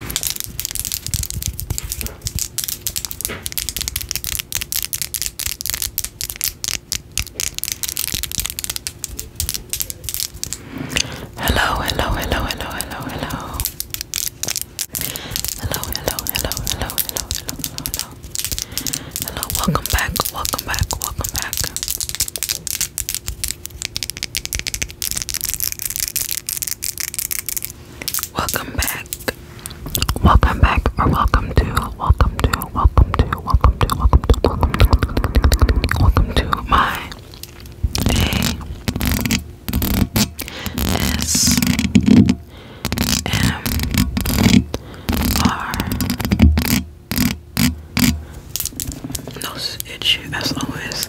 Hello, hello, hello, hello, hello, hello. Hello, hello, hello, hello, hello, hello, hello, hello. Hello, welcome back, welcome back, welcome back. Welcome back. Welcome back or welcome to welcome to welcome to welcome to welcome to welcome to welcome to my ASMR nose itchy as always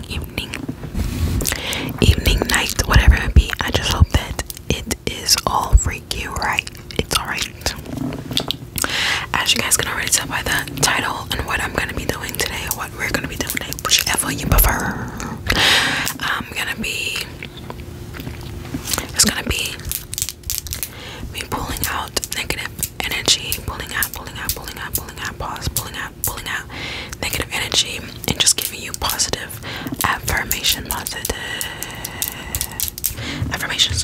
morning, evening, evening, night, whatever it be. I just hope that it is all freaky right. It's alright. As you guys can already tell by the title and what I'm gonna be doing today, or what we're gonna be doing today, whichever you prefer. I'm gonna be it's gonna be me pulling out negative energy, pulling out, pulling out, pulling out, pulling out, pause, pulling out pulling out negative energy and just giving you positive affirmation, positive affirmations.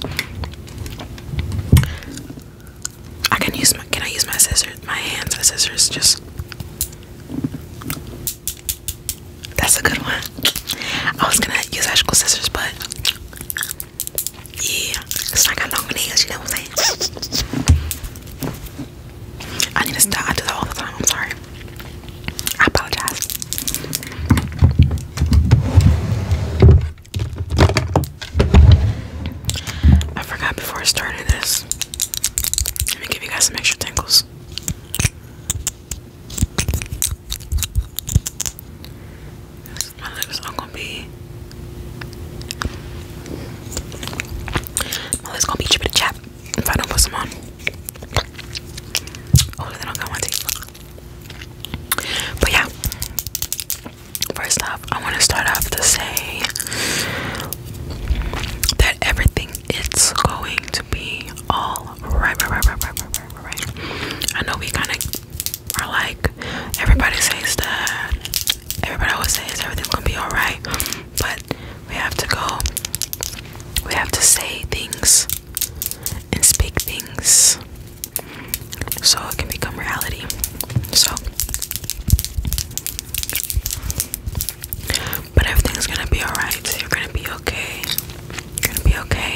I can use my can I use my scissors my hands, my scissors just that's a good one. I was gonna use actual scissors, but yeah, it's got long nails, you I need to stop. I do that all the time. I'm sorry. I apologize. I forgot before I started this. Let me give you guys some extra tingles. My lips are gonna be okay? Well, it's gonna be cheaper to chat if I don't put some on. Oh, then I'll go on But yeah, first off, I want to start off to say that everything it's going to be all right, right, right, right, right, right, right, right. I know we kind of are like everybody says that everybody always says everything's gonna be alright, but we have to go. We have to say things and speak things so it can become reality. So, but everything's gonna be alright. You're gonna be okay. You're gonna be okay.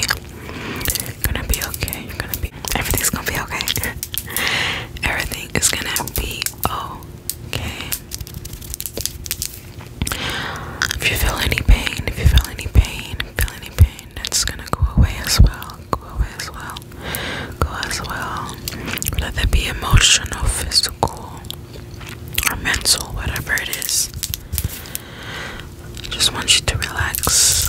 You're gonna be okay. You're gonna be everything's gonna be okay. Everything is gonna be okay. If you feel any pain, if you feel any pain, feel any pain, that's gonna go away as well. Go away as well. Go as well. Let that be emotional, physical, or mental, whatever it is. just want you to relax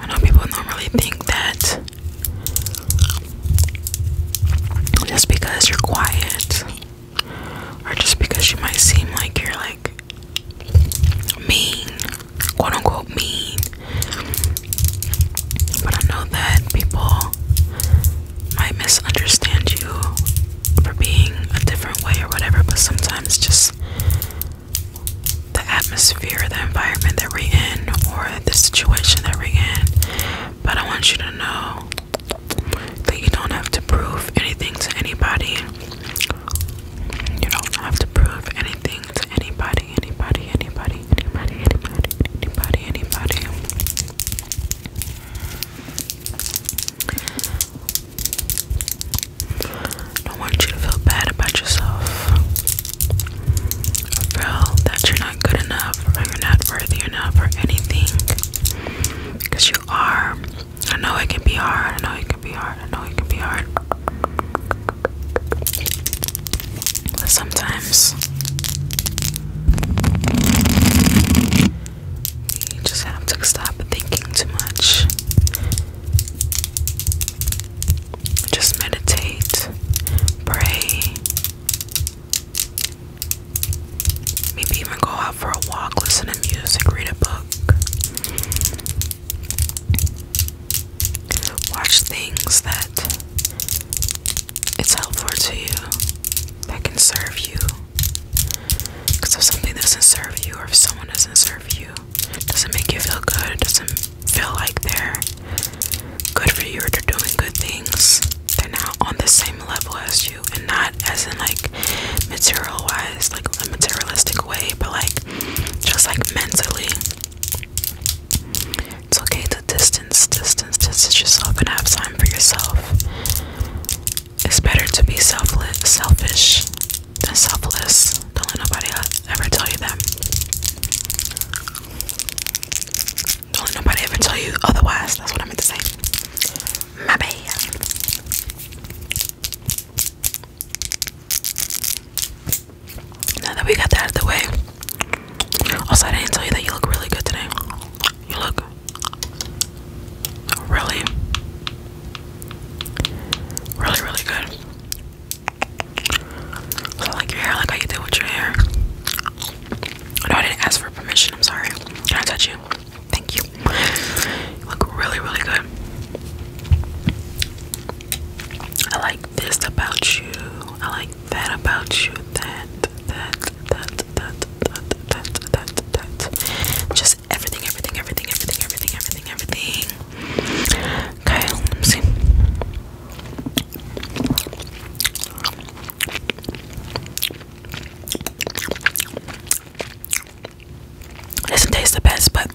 I know people normally think that just because you're quiet or just because you might seem like you're like mean, quote unquote mean, but I know that people might misunderstand you for being a different way or whatever, but sometimes just the atmosphere, the environment that we're in, or the situation that we're in. But I want you to know that you don't have to prove anything to anybody. You don't have to prove anything to anybody, anybody, anybody, anybody, anybody, anybody, anybody. Don't want you to feel bad about yourself. Feel that you're not good enough or you're not worthy enough or anything. Because you are. I know it can be hard. I know it can be hard. I know it can be hard. sometimes you just have to stop thinking too much. Just meditate, pray, maybe even go out for a walk, listen to music, read a book, watch things that it's helpful to you, that can serve you. Because if something doesn't serve you, or if someone doesn't serve you, doesn't make you feel good, doesn't feel like they're good for you or they're doing good things, they're not on the same level as you, and not as in like material wise, like a materialistic way, but like just like mentally. It's okay to distance, distance, distance yourself and have time for yourself. It's better to be selfish than selfless. Don't let nobody ever tell you that. Don't let nobody ever tell you otherwise. That's what I meant to say. My bad. Now that we got that out of the way, also I didn't tell you that you look really good today. You look really, really, really good. I like your hair, like how you did with your hair. No, I didn't ask for permission. I'm sorry. Can I touch you? Thank you. You look really, really good. I like this about you. I like that about you. That, that, that, just everything, everything, everything, everything, everything, everything, everything. Okay, let me see. It doesn't taste the best, but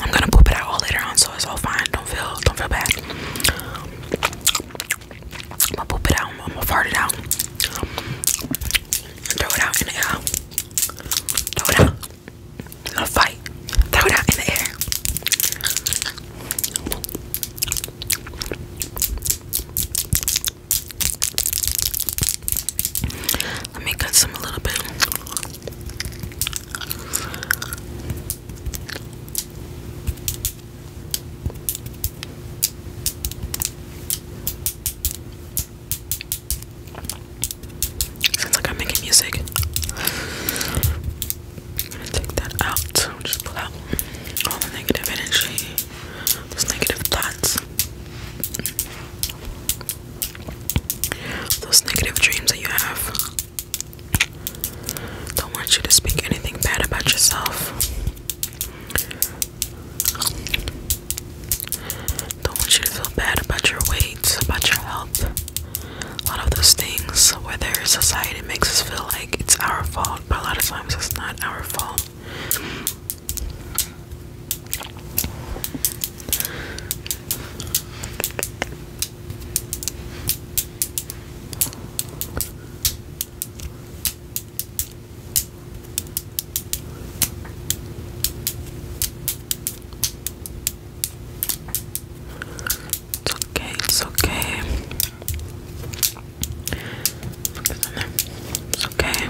I'm gonna poop it out all later on, so it's all fine. Don't feel, don't feel bad. I'm gonna poop it out. I'm gonna fart it out. Throw it out in the air. Throw it out. I'm gonna fight. Throw it out in the air. Let me cut some a little bit. Sounds like I'm making music. I'm gonna take that out. just pull out all the negative energy, those negative thoughts, those negative dreams that you have. Don't want you to speak anything bad about yourself. Don't want you to feel bad about your weight, about your health. A lot of those things, whether society makes us feel like it's our fault, but a lot of times it's not our fault. It's okay, it's okay. Focus on there. It's okay.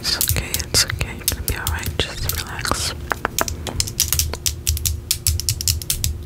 It's okay, it's okay. You're gonna be alright, just relax.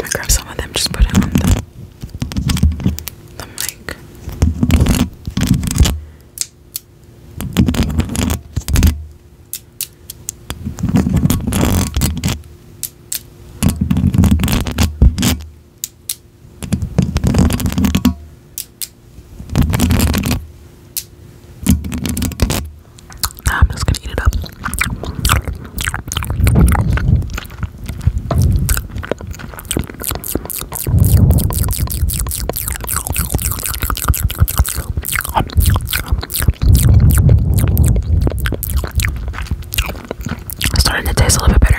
I'm grab some of them, just put it on the, the mic. I'm just gonna eat it up. starting to taste a little bit better.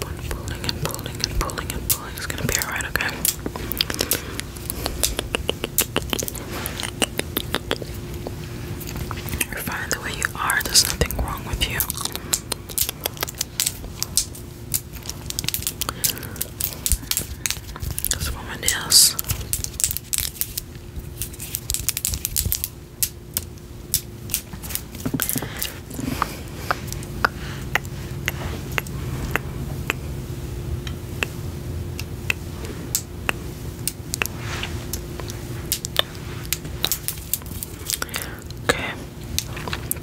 pulling and pulling and pulling and pulling. It's gonna be alright, okay? You're fine the way you are, there's nothing wrong with you. This woman is Okay,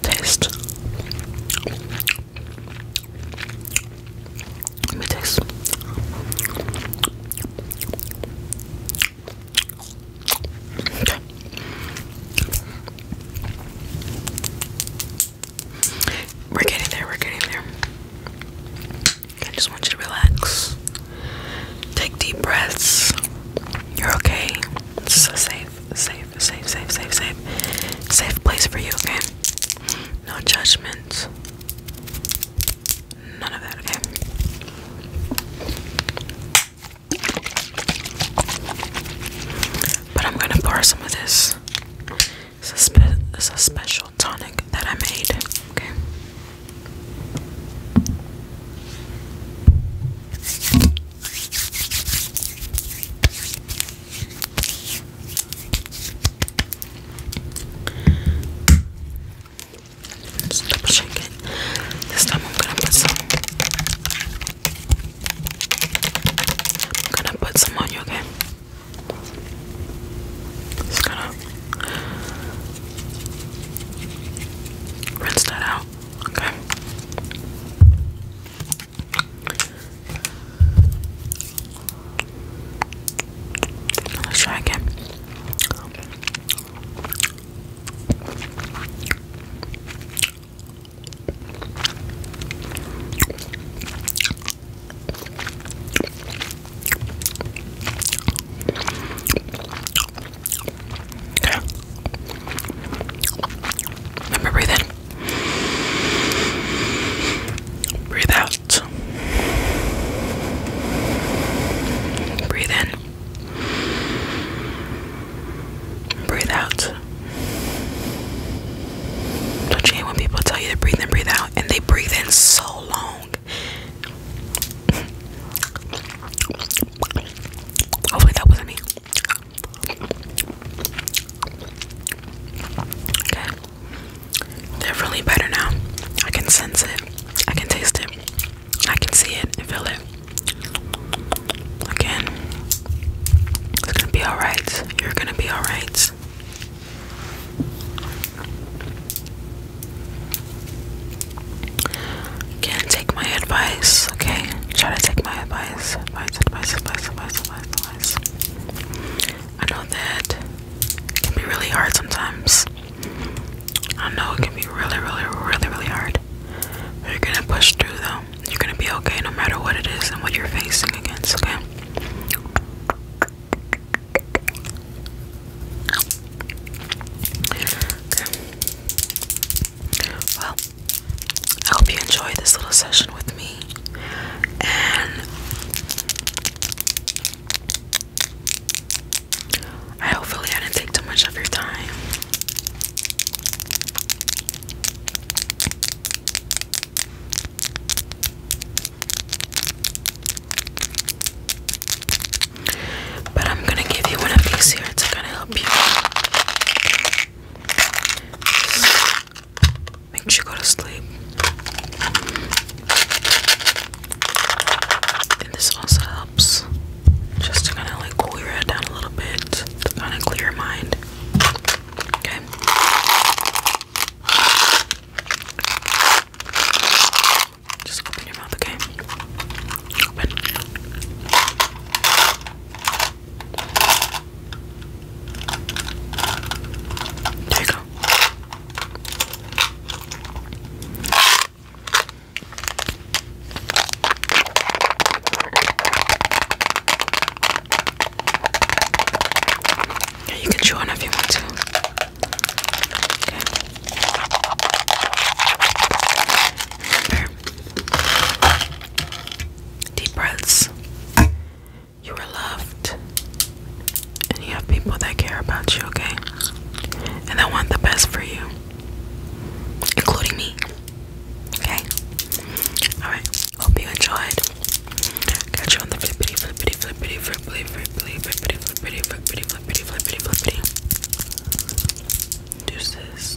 taste. Let me Okay. We're getting there, we're getting there. I just want you to relax. Take deep breaths. You're okay. It's a safe, safe, safe, safe, safe, safe, safe place for you, okay? No judgment. But I'm gonna pour some of this. It's a, it's a special tonic that I made, okay? Just double shake it. This time I'm gonna put some. I'm gonna put some on you, okay? Just gonna rinse that out, okay? Let's try again. Okay. Remember breathe in. Breathe out. Breathe in. Breathe out. Don't you hate when people tell you to breathe in, breathe out, and they breathe in so long? Hopefully, that wasn't me. They're really better now. I can sense it. I can taste it. I can see it and feel it. Again, it's gonna be alright. You're gonna be alright. Again, take my advice, okay? Try to take my advice. Advice, advice, advice, advice, advice, advice. I know that it can be really hard sometimes. I know it can be really, really, really, really hard. But you're gonna push through though. You're gonna be okay no matter what it is and what you're facing against, okay? Well, I hope you enjoyed this little session with me and I hopefully I didn't take too much of your time. But I'm gonna give you one of these here to kind of help you makes you go to sleep. And this also helps just to kind of like cool your head down a little bit, to kind of clear your mind. Okay. Just open your mouth, okay? Open. There you go. Yeah, you can chew on if you want to. Okay. Deep breaths. You are loved. And you have people that care about you, okay? And that want the best for you. Including me. Okay? Alright. Hope you enjoyed. Catch you on the flippity, flippity, flippity, flippity, flippity, flippity, flippity, flippity, flippity, flippity, flippity. Deuces.